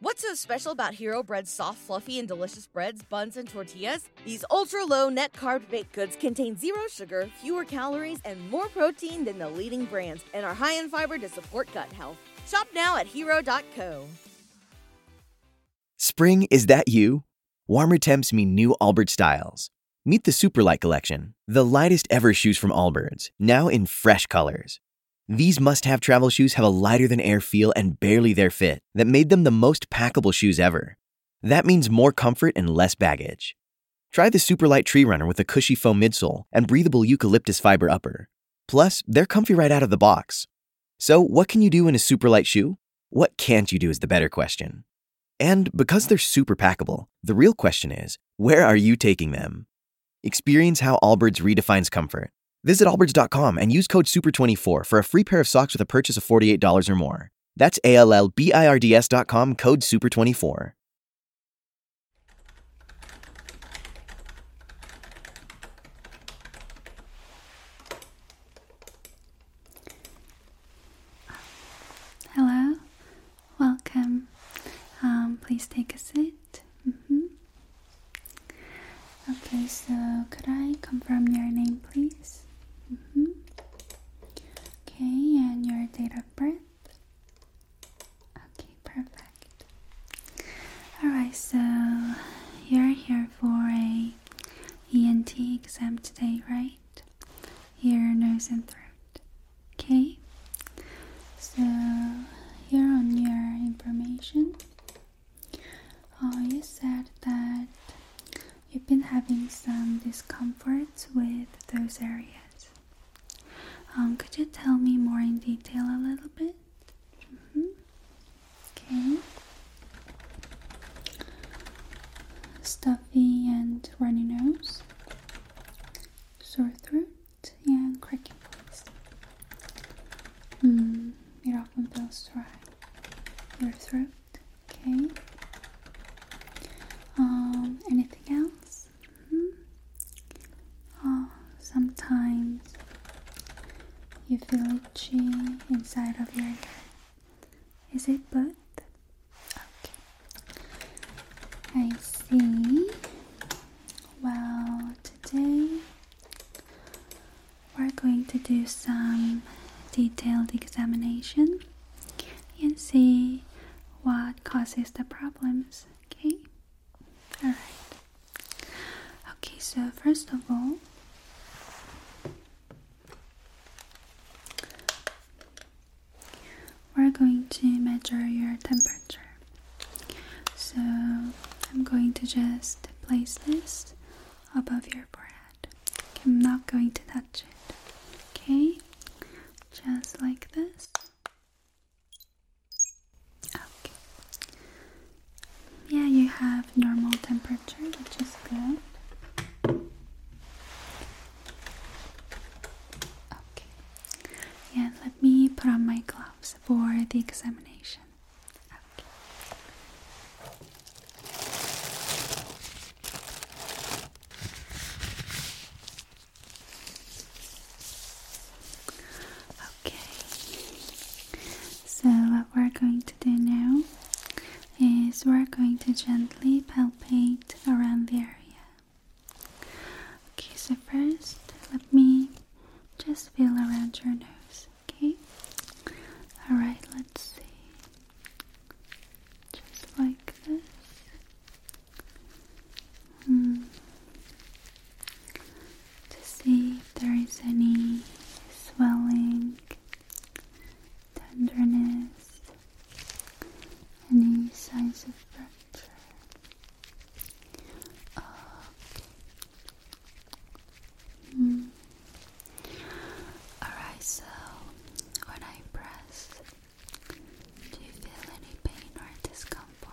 What's so special about Hero Bread's soft, fluffy, and delicious breads, buns, and tortillas? These ultra low net carb baked goods contain zero sugar, fewer calories, and more protein than the leading brands, and are high in fiber to support gut health. Shop now at hero.co. Spring, is that you? Warmer temps mean new Albert styles. Meet the Superlight Collection, the lightest ever shoes from Allbirds, now in fresh colors. These must have travel shoes have a lighter than air feel and barely their fit that made them the most packable shoes ever. That means more comfort and less baggage. Try the Superlight Tree Runner with a cushy foam midsole and breathable eucalyptus fiber upper. Plus, they're comfy right out of the box. So, what can you do in a superlight shoe? What can't you do is the better question. And because they're super packable, the real question is where are you taking them? Experience how Allbirds redefines comfort. Visit allbirds.com and use code SUPER24 for a free pair of socks with a purchase of $48 or more. That's A L L B I R D S dot com code SUPER24. Hello, welcome. Um, please take a seat. Mm-hmm. Okay, so could I confirm your name, please? Mm-hmm. Okay, and your date of birth? Okay, perfect. Alright, so you're here for a ENT exam today, right? Ear, nose, and throat. Okay, so here on your information uh, you said that you've been having some discomforts with those areas. Um, could you tell me more in detail a little bit? Mm-hmm. Okay. Stuffy and runny nose, sore throat, yeah, cracking voice. Hmm. It often feels dry your throat. Okay. Um, anything else? Oh, sometimes you feel itchy inside of your head. Is it both? Okay. I see. Well, today we're going to do some detailed examination and see what causes the problems, okay? Alright. Okay, so first of all, we're going to measure your temperature. So I'm going to just place this above your forehead. I'm not going to touch it. Okay, just like this. Okay. Yeah, you have normal temperature, which is good. Okay. Yeah, let me put on my gloves for the examination. Okay. So, what we're going to do now is we're going to gently palpate around the area. Okay, so first let me just feel around your nose okay? Alright, let's see. Just like this. Hmm. To see if there is any swelling, tenderness, any signs of fracture. Mm. Alright, so when I press, do you feel any pain or discomfort?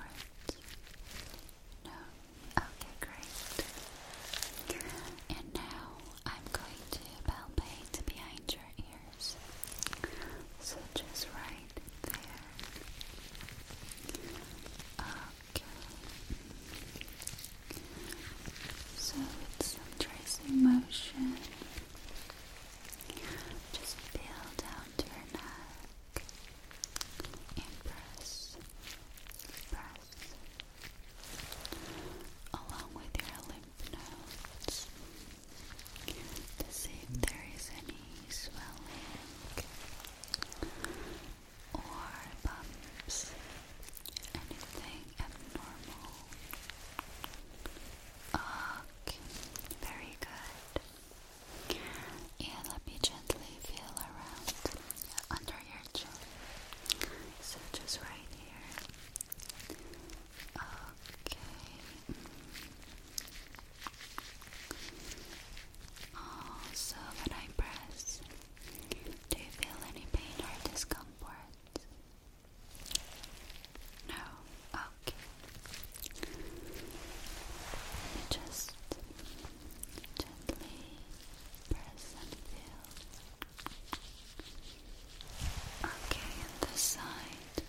No? Okay, great. And now I'm going to palpate behind your ears. So just right there. Um, so it's some tracing motion, just feel down to your neck and press, press along with your lymph nodes to see if there is any swelling or bumps, anything abnormal. Okay, very good. And let me gently feel around under your chin. So just right here. Okay. Also, when I press do you feel any pain or discomfort? No? Okay. just gently press and feel. Okay, and side.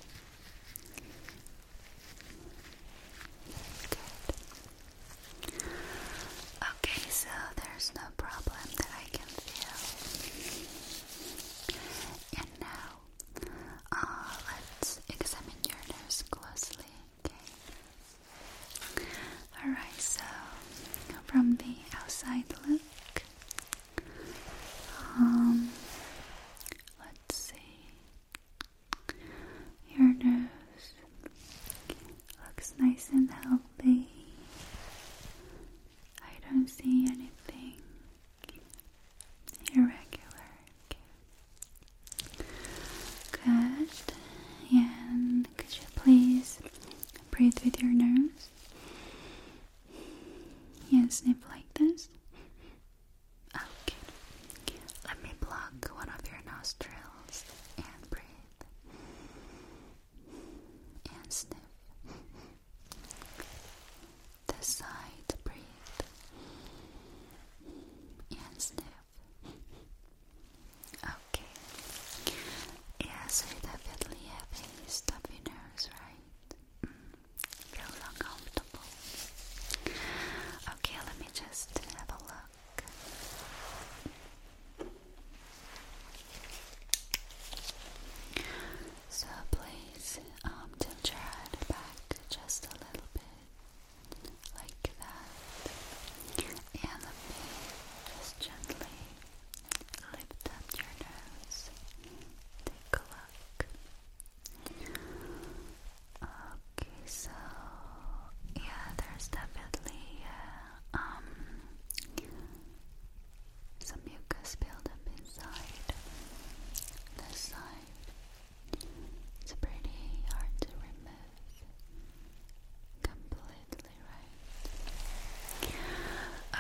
Good. Okay, so there's no problem that I can feel. And now, uh, let's examine your nose closely, okay? Alright, so from the outside look, um, let's see. Your nose Looks nice and healthy. I don't see anything irregular. Okay. Good. And could you please breathe with your nose? Yeah, sniff like this. Okay. Let me block one of your nostrils and breathe and sniff. The side breathe and sniff. Okay. Yes, you definitely have stuffy nose, right? Mm, Feels uncomfortable. Okay, let me just have a look. So please um, tilt your head back just a little bit, like that, and let me just gently lift up your nose. Take a look. Okay, so yeah, there's definitely. Uh, um, some mucus build up inside this side. It's pretty hard to remove completely, right?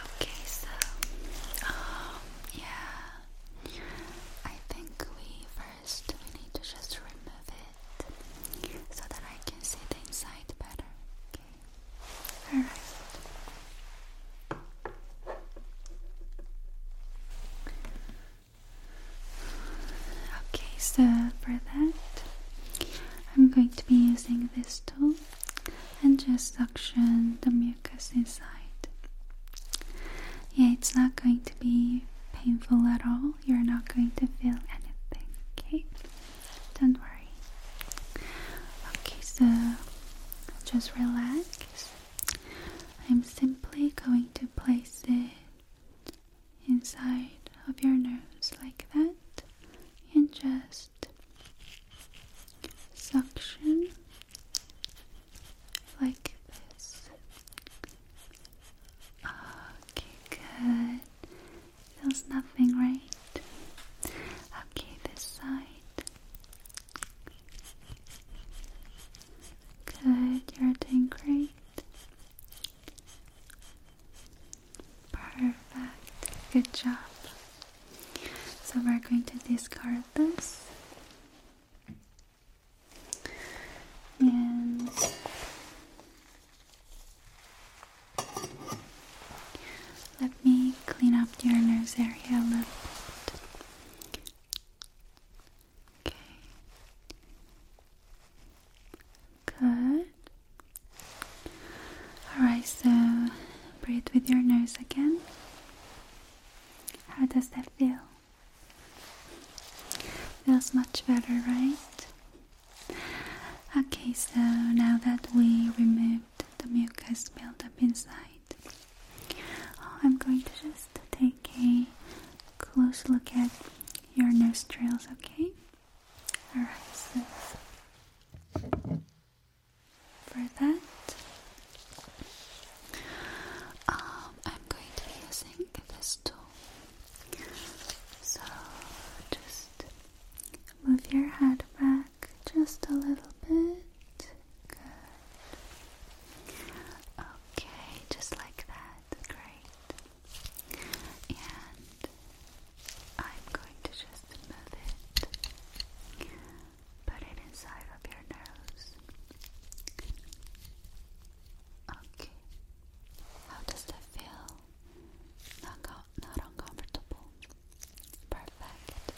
Okay, so um, yeah, I think we first we need to just remove so that I can see the inside better. Okay. Alright. Okay, so for that, I'm going to be using this tool and just suction the mucus inside. Yeah, it's not going to be painful at all you're not going to feel anything, okay? Don't worry. Okay, so just relax. I'm simply going to place it inside of your nose like that and just suction like this. Okay, good. Feels nothing, right? Okay, this side. Good, you're doing great. Perfect, good job. So we're going to discard this. And let me clean up your nose area a little bit. Okay. Good. Alright, so breathe with your nose again. How does that feel? Feels much better, right? Okay, so now that we removed the mucus buildup inside, oh, I'm going to just take a close look at your nostrils, okay? Alright, so for that. Um, I'm going to be using this tool. So just move your head back just a little bit. Good. Okay, just like that. Great. And I'm going to just move it. Put it inside of your nose. Okay. How does that feel? Not, not uncomfortable. Perfect.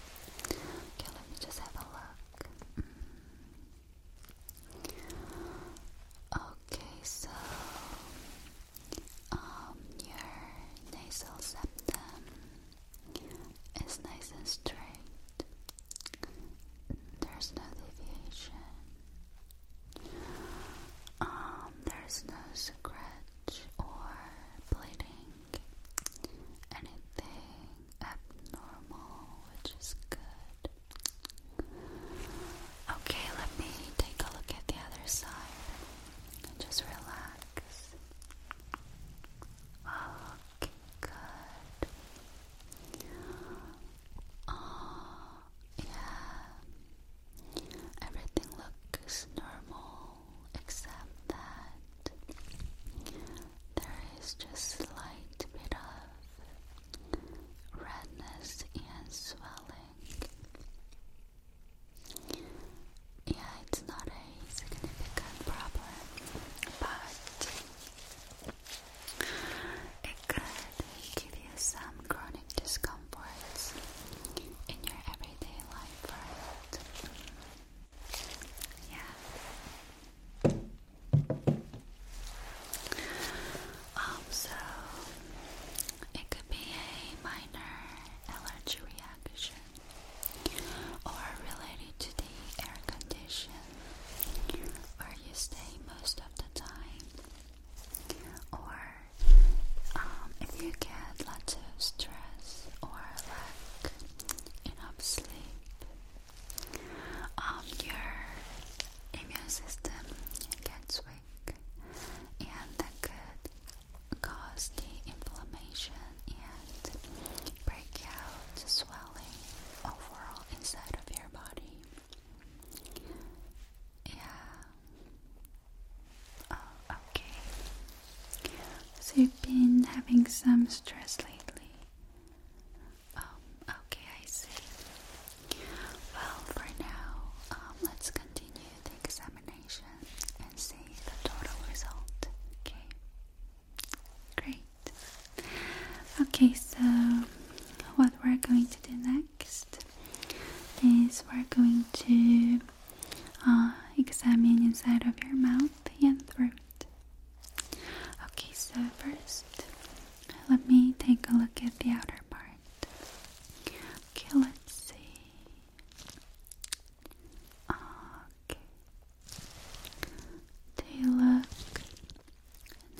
Okay, let me just have a look. Mm. Okay, so um, your nasal septum is nice and straight. There's no deviation. Um, there's no scratch or bleeding, anything abnormal, which is good. Okay, let me take a look at the other side. just relax. Okay, good. Oh, yeah. Everything looks normal except that there is just slight bit of redness and swelling. Yeah, it's not a significant problem, but it could give you some chronic discomforts in your everyday life, right? Yeah. Um, so it could be a minor allergy reaction or related to the air condition where you stay most of the time or um, if you get lots of stress or lack enough sleep, um, your immune system gets weak, and that could cause the inflammation and breakout, swelling overall inside of your body. Yeah, Oh, okay. So you've been having some stress lately. Um, okay, I see. Well, for now, um, let's continue the examination and see the total result. Okay. Great. Okay, so what we're going to do next is we're going to uh, examine inside of your mouth and throat. Okay, so first, let me take a look at the outer part. Okay, let's see. Okay. They look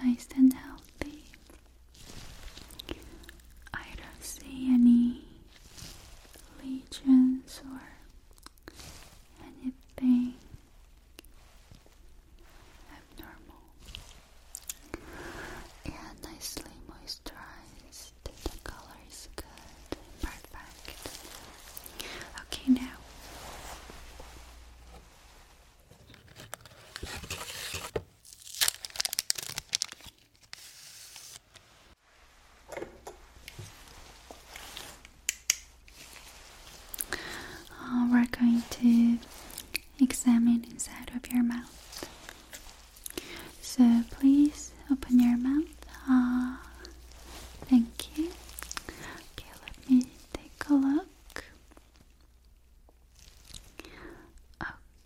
nice and healthy. I don't see any legions or anything abnormal. Yeah, nicely moisturized. The color is good. Perfect. Okay, now we're going to examine inside of your mouth. So please open your mouth. Ah, thank you. Okay, let me take a look.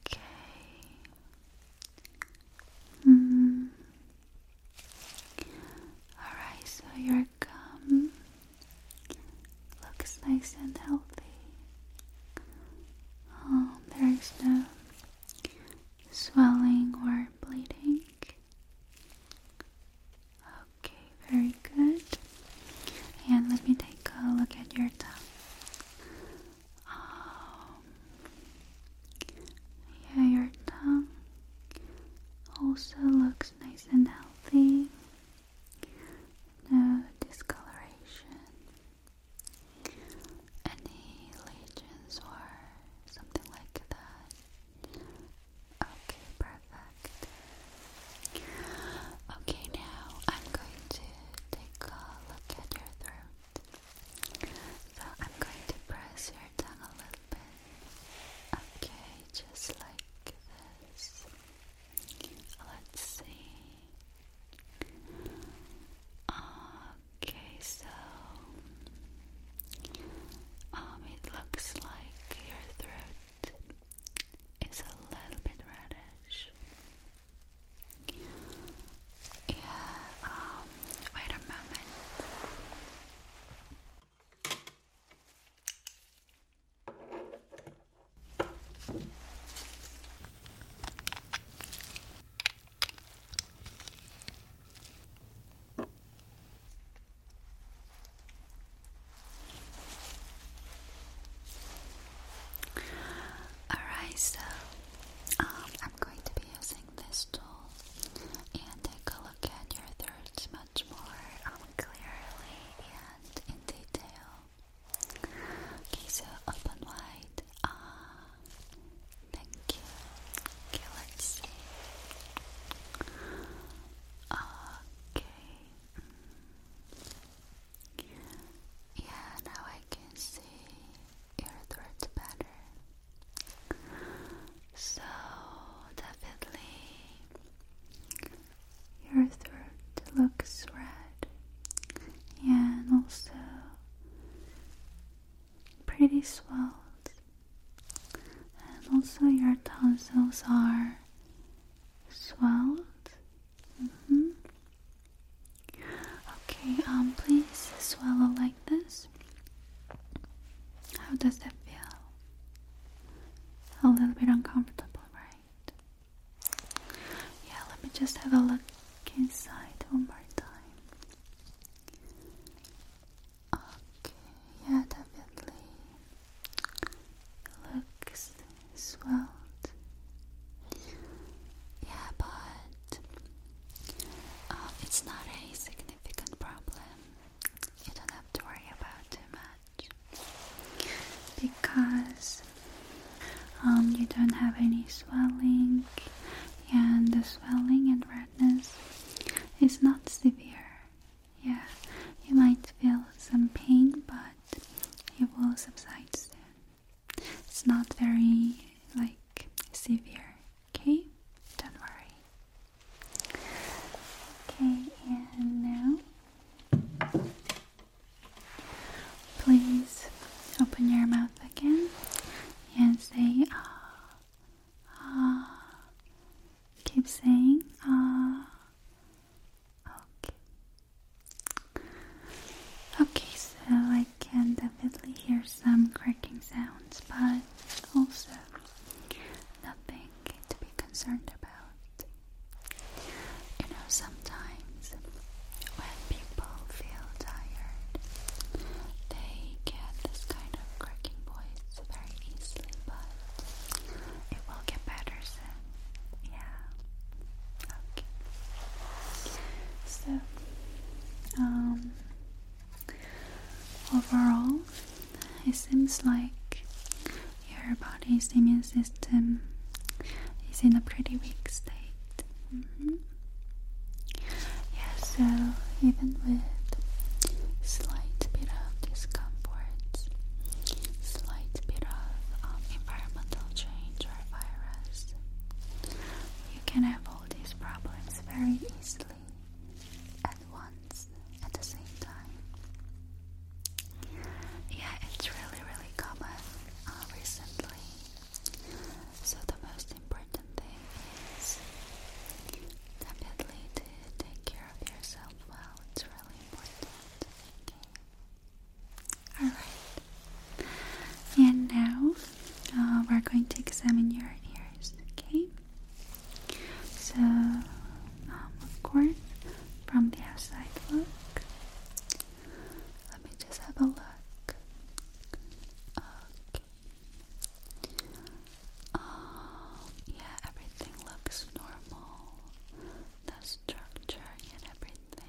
Okay. Mm. Alright, so your gum looks nice and healthy. Oh, um, there is no swelling or bleeding. Okay, very good. And let me take a look at your tongue. Um, yeah, your tongue also looks nice and healthy. No discoloration, any lesions or something like that. Okay, perfect. Okay, now I'm going to take a look at your throat. So I'm going to press your tongue a little bit. Okay, just like this. Let's see. Okay, so um, it looks like your throat is a little bit reddish. Yeah, um, wait a moment. All right, so um, I'm going to be using this tool and take a look at your thirds much more um, clearly and in detail. Okay, so open wide. Ah, thank you. Okay, let's see. Okay. Mm. Yeah, now I can see your throat better. So definitely your throat looks red and also pretty swelled and also your tonsils are swelled mm-hmm. Okay, um, please swallow like this. How does that feel? A little bit uncomfortable, right? Yeah, let me just have a look inside one more time. Okay, yeah, definitely looks swelled. Yeah, but um, it's not a significant problem. You don't have to worry about too much because um, you don't have any swelling, and the swelling and redness is not severe. Yeah, you might feel some pain, but it will subside soon. It's not very like severe, okay? Don't worry. Okay, and now please open your mouth again and say ah ah keep saying ah okay Okay, so I can definitely hear some cracking sounds, but also nothing to be concerned about. You know, sometimes when people feel tired, they get this kind of cracking voice very easily, but it will get better soon. Yeah. Okay. So um, overall, it seems like your body's immune system is in a pretty weak state. Mm-hmm. Yeah, so even with slight bit of discomfort, slight bit of um, environmental change or virus, you can have all these problems very easily at once at the same time. Yeah, it's really, really common uh, recently. So, the most important thing is definitely to take care of yourself well. It's really important. Alright. And now uh, we're going to examine your ears, okay? So, um, of course, from the outside look, let me just have a look. Um, yeah, everything looks normal. The structure and everything.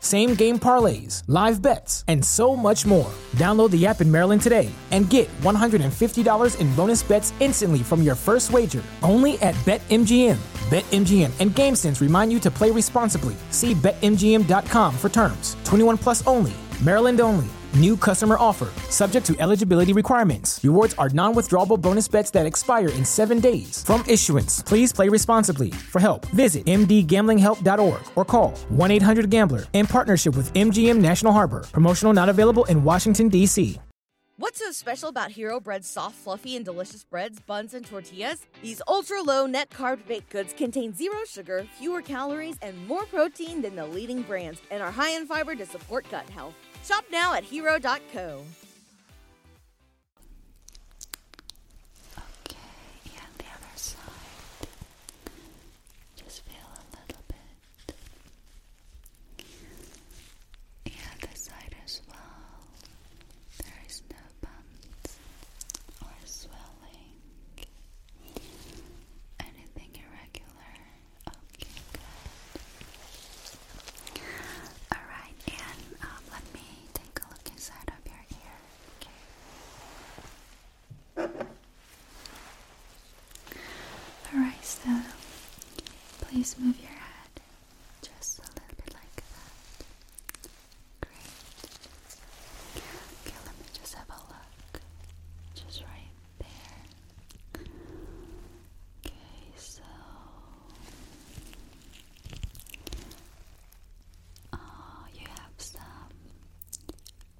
same game parlays, live bets, and so much more. Download the app in Maryland today and get $150 in bonus bets instantly from your first wager only at BetMGM. BetMGM and GameSense remind you to play responsibly. See BetMGM.com for terms. 21 plus only. Maryland only. New customer offer, subject to eligibility requirements. Rewards are non withdrawable bonus bets that expire in seven days. From issuance, please play responsibly. For help, visit mdgamblinghelp.org or call 1-800-GAMBLER in partnership with MGM National Harbor. Promotional not available in Washington, D.C. What's so special about Hero Bread's soft, fluffy, and delicious breads, buns, and tortillas? These ultra-low net carb baked goods contain zero sugar, fewer calories, and more protein than the leading brands and are high in fiber to support gut health. Shop now at hero.co. Okay, and the other side. Just feel a little bit. Yeah, this side as well. There is no bumps or swelling. Anything irregular? Okay, Alright, and um, let me take a look inside of your ear. Okay. Alright, so please move your head just a little bit like that. Great. Okay, let me just have a look. Just right there. Okay, so. Oh, you have some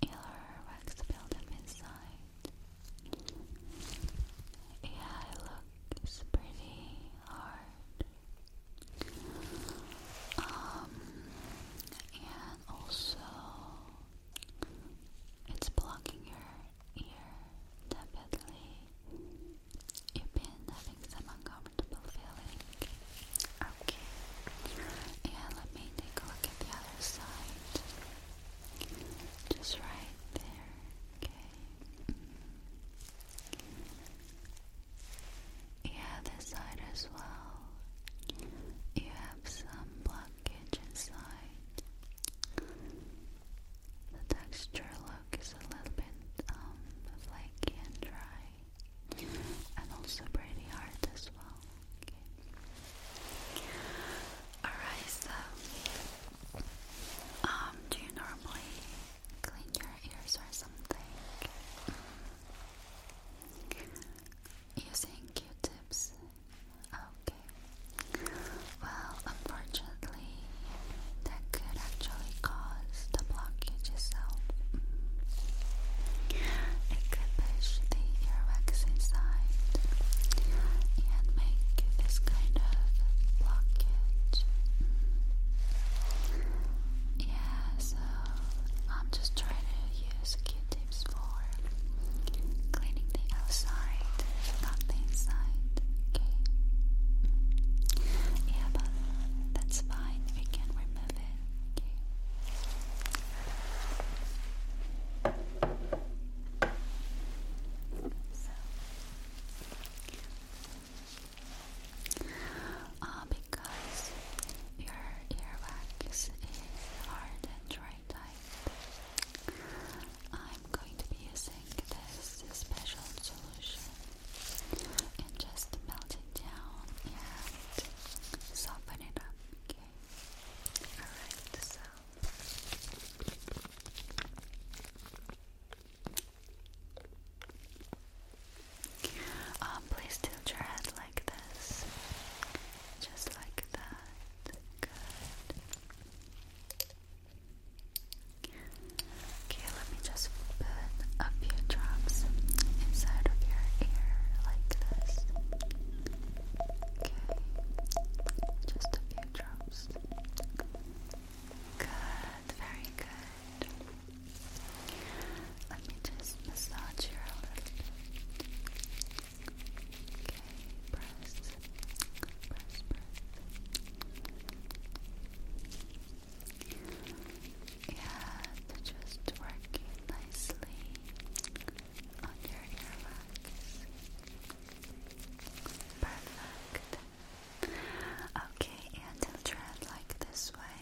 Elor Waxfield at midnight. Yeah, it looks pretty hard. Um, and also it's blocking your ear definitely. You've been having some uncomfortable feeling Okay. And let me take a look at the other side. Just right there. Okay. Mm -hmm. side as well. You have some blockage inside. The texture look is a little bit um, flaky and dry and also pretty hard as well. Okay. Alright, so um, do you normally clean your ears or something? Using Q-tips. Okay. Well, unfortunately, that could actually cause the blockages. So it could push the earwax inside and make this kind of blockage. Yeah, so I'm just trying to use Q-tips for cleaning the outside, not the inside. Okay. Yeah, but that's fine. We can remove it. Okay. So, uh, because your earwax is hard and dry type, I'm going to be using this special solution and just melt it down and soften it up. Okay. Alright, so um, please tilt your head like this. Just like that. Good. Okay, let me just put a few drops inside of your ear like this. Okay, just a few drops. Good, very good. Let me just massage your a little bit. Okay, press, press, press. Yeah, just working nicely on your earwax. Perfect. Okay, and I'll try it like this way.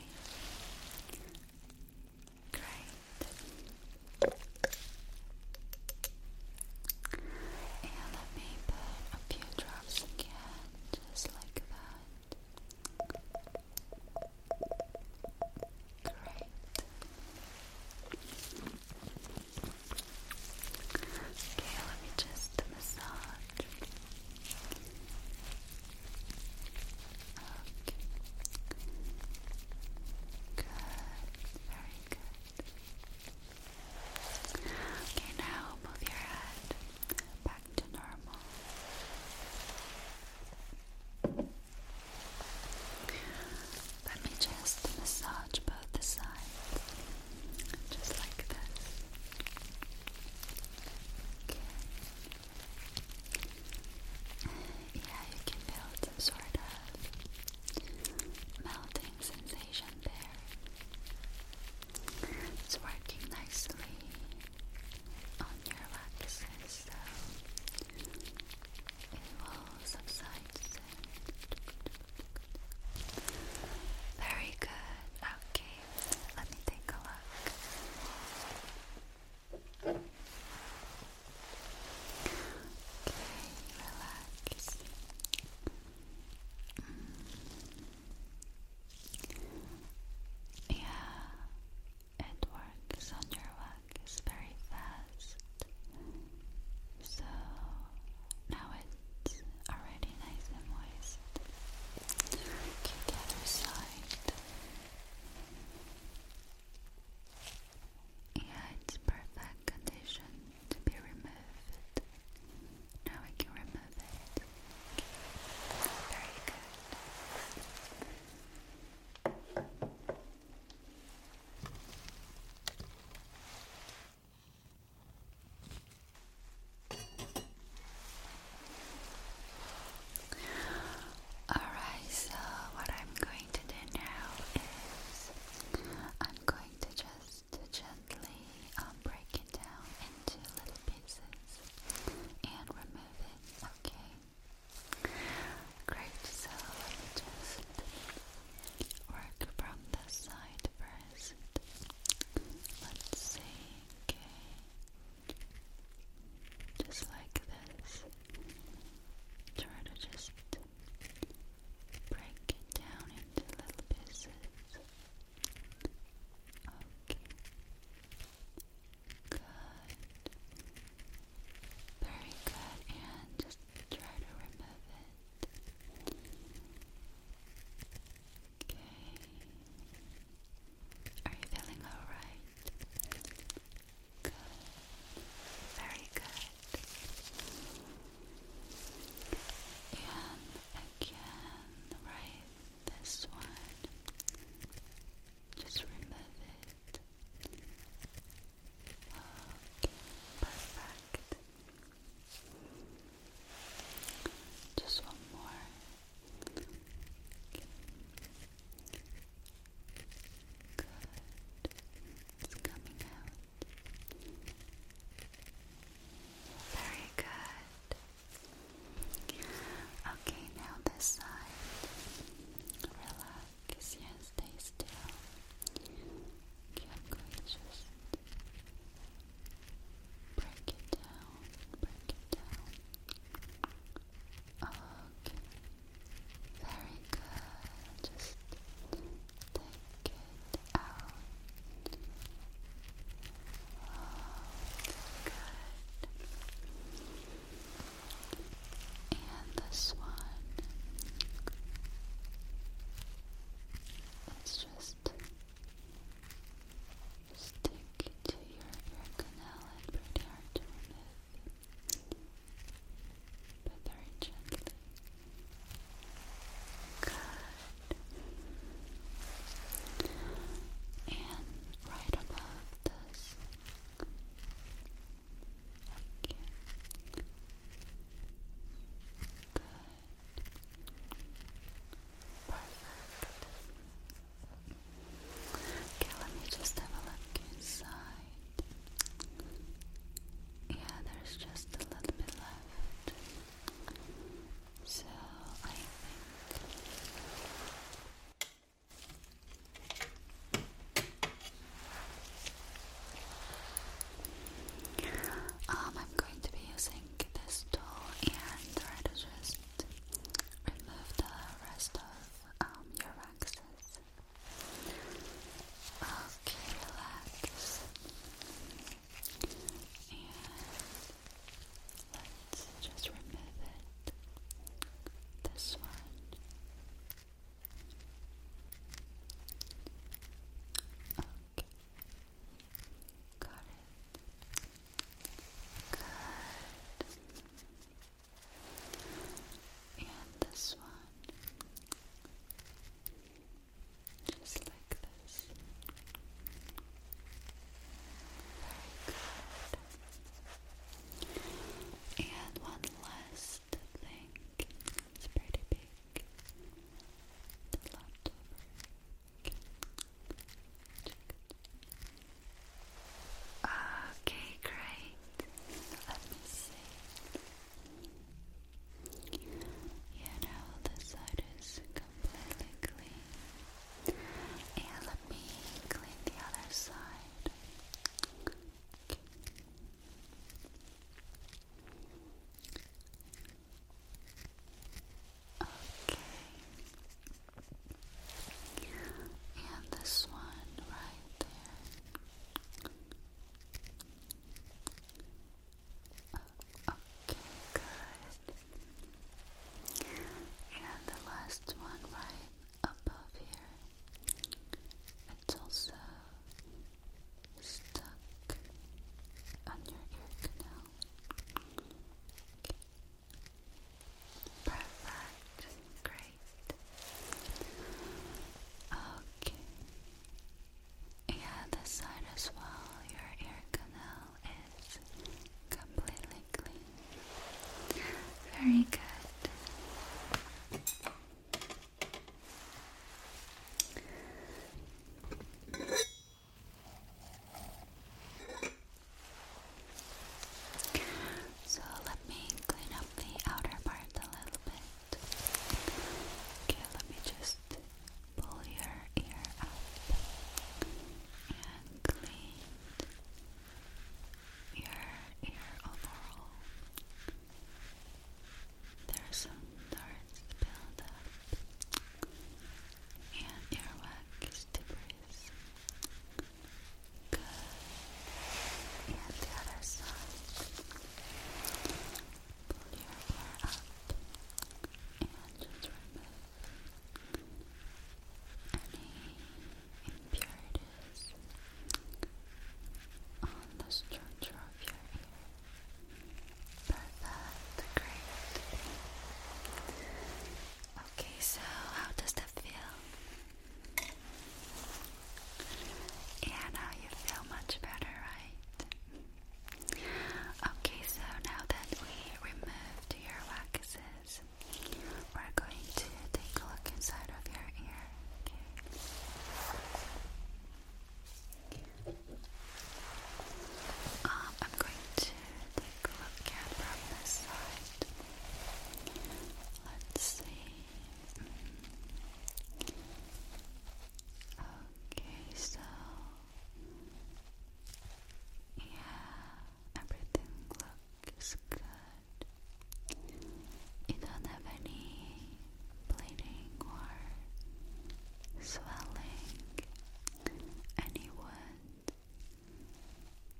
Great. And let me put a few drops again, just like that. Great. Okay, let me just massage. Okay. Good. Very good. Okay, now move your head back to normal. Let me just massage both the sides, just like this. Yeah, you can feel some sort of melting sensation there. It's working nicely on your waxes, so it will subside soon. Very good. Okay, let me take a look. Okay, relax. Mm. Yeah, it works on your wax very fast. So now it's already nice and moist. Okay, the other side. Yeah, it's perfect condition to be removed. Now we can remove it. Okay. Very good. Alright, so what I'm going to do now is I'm going to just gently um, break it down into little pieces and remove it, okay? Great, so let me just work from the side first. Let's see, okay. Just like this. Try to just break it down into little pieces. Okay. Good. Very good. And just try to remove it. Okay. Are you feeling alright? Good. Very good. And again, right this one. Just remove it. Perfect. Just one more. Good. It's coming out. Very good. Okay, now this side. Relax. Because yes, stay still. I'm just break it down, break it down. Okay. Very good. Just take it out. Oh, good. And this one, let's just stick to your ear canal and pretty hard to remove, but very gently. Good. And right above this. Okay. Good. Perfect. Okay, let me just have a look inside. Yeah, there's just a little bit left. So I think um, I'm going to be using this tool and try to just remove the rest of um, your waxes. Okay, relax. And let's just remove it. This one. Okay. Got it. Good. And this one. Just like this. Very good. And one last I think it's pretty big. It's a lot of Okay, great. Let me see. Yeah, now this side is completely clean. let me clean the other side. Okay. And this one right there. Okay, good. And the last one right above here. It's also stuck on your ear canal. Perfect. Great. Okay. Yeah, this side as well. Your ear canal is completely clean. Very good. So let me clean up the outer part a little bit. Okay, let me just pull your ear up and clean your ear overall. Oh, there are some darts build up and earwax debris. Good. And the other side. Pull your ear up and just remove any impurities on the structure of your ear. Perfect, Okay, so how does that feel? Yeah, now you feel much better, right? Okay, so now that we removed your waxes, we're going to take a look inside of your ear. Okay. Um, I'm going to take a look at from this side. Let's see. Okay, so yeah, everything looks good. You don't have any bleeding or swelling, any wound.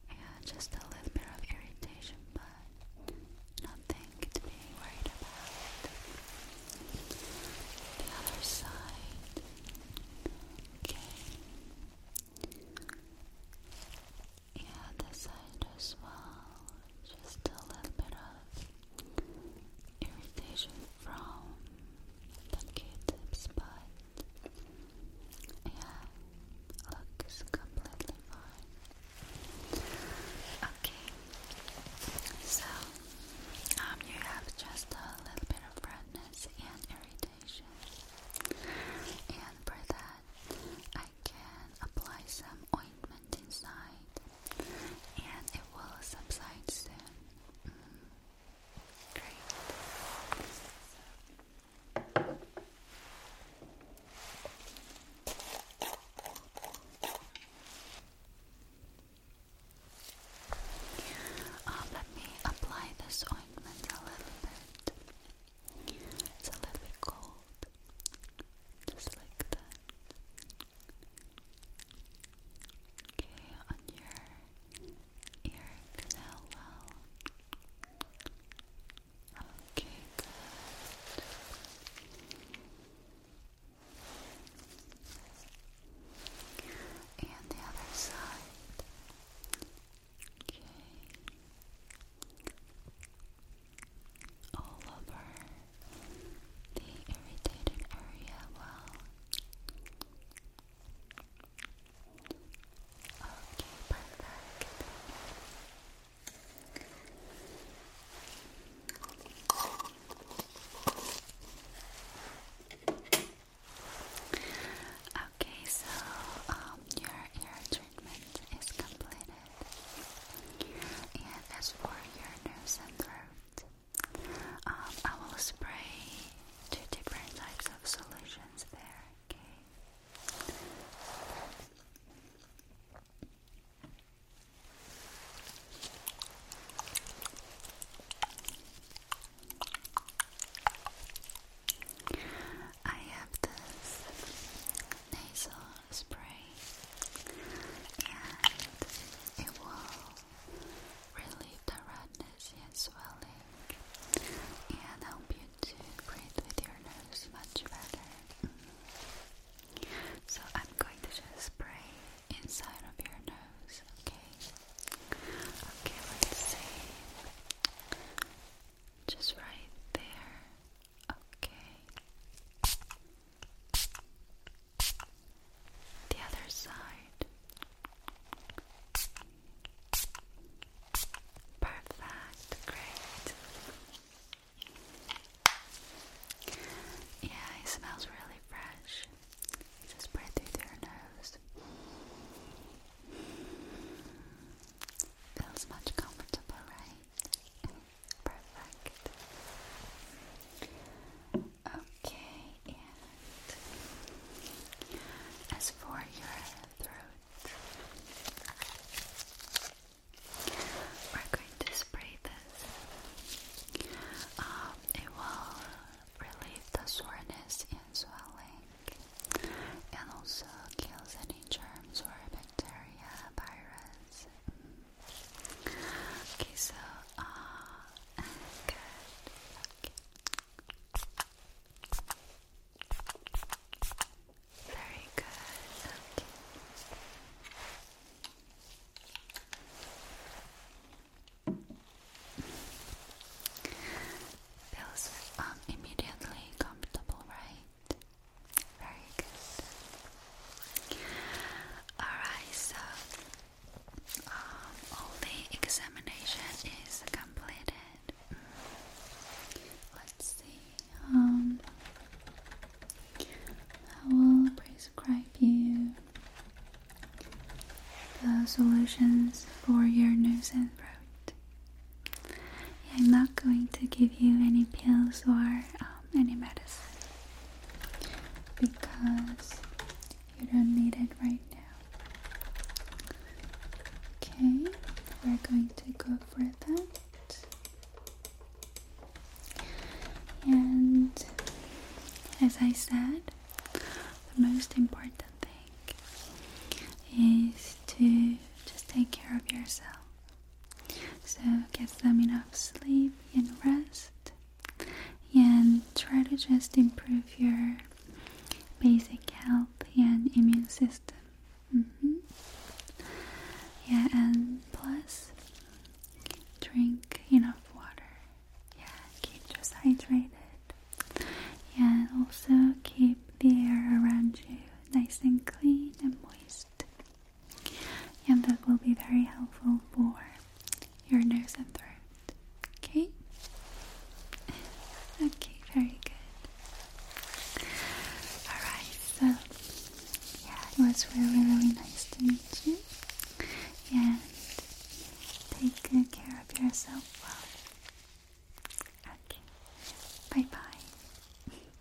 Yeah, just a little bit of irritation, but nothing to be worried about. The other side. Okay. Yeah, this side as well. Just a little bit of irritation from the Q-tips, but yeah, looks completely fine. Okay, so um, you have just a little bit of redness and irritation, and for that. I can apply some ointment inside and it will subside soon. Mm. let me apply this ointment a little bit. It's a little bit cold. Just like that. Okay, on your ear canal well. Okay, good. And the other side. Okay all over the irritated area well. Okay, perfect. Okay, so um, your treatment is completed. And as for your nose and throat, um, I will spray two different types of solutions there, okay? I have this nasal spray and it will relieve the redness and swelling and help you to breathe with your nose much better. Mm. So I'm going to just spray inside of your nose, okay? Okay, let's see. Just right there. Okay. The other side. Perfect, great. Yeah, it smells really fresh. Just breathe through your nose. Feels much comfortable, right? Perfect. Okay, as for your throat, we're going to spray this. Um, it will relieve the soreness and swelling, and also kills any germs or bacteria, viruses. Mm. Okay, so ah, good. Okay. Very good. Okay. Feels um, immediately comfortable, right? Very good. Alright, so um, all the examination is completed. Mm. Let's see. Um, I will prescribe you the solutions for your nose and throat. I'm not going to give you any pills or um, any medicine because you don't need it right now. Okay, we're going to go for that. And as I said, the most important thing is to just take care of yourself. So get some enough sleep and rest, and try to just improve your basic health and immune system. Mm-hmm. Yeah, and plus drink enough water. Yeah, keep just hydrated. and also keep the air around you nice and clean and moist and that will be very helpful for your nose and throat. Okay? Okay, very good. Alright, so yeah, it was really, really nice to meet you. And take good care of yourself well. Okay, bye bye.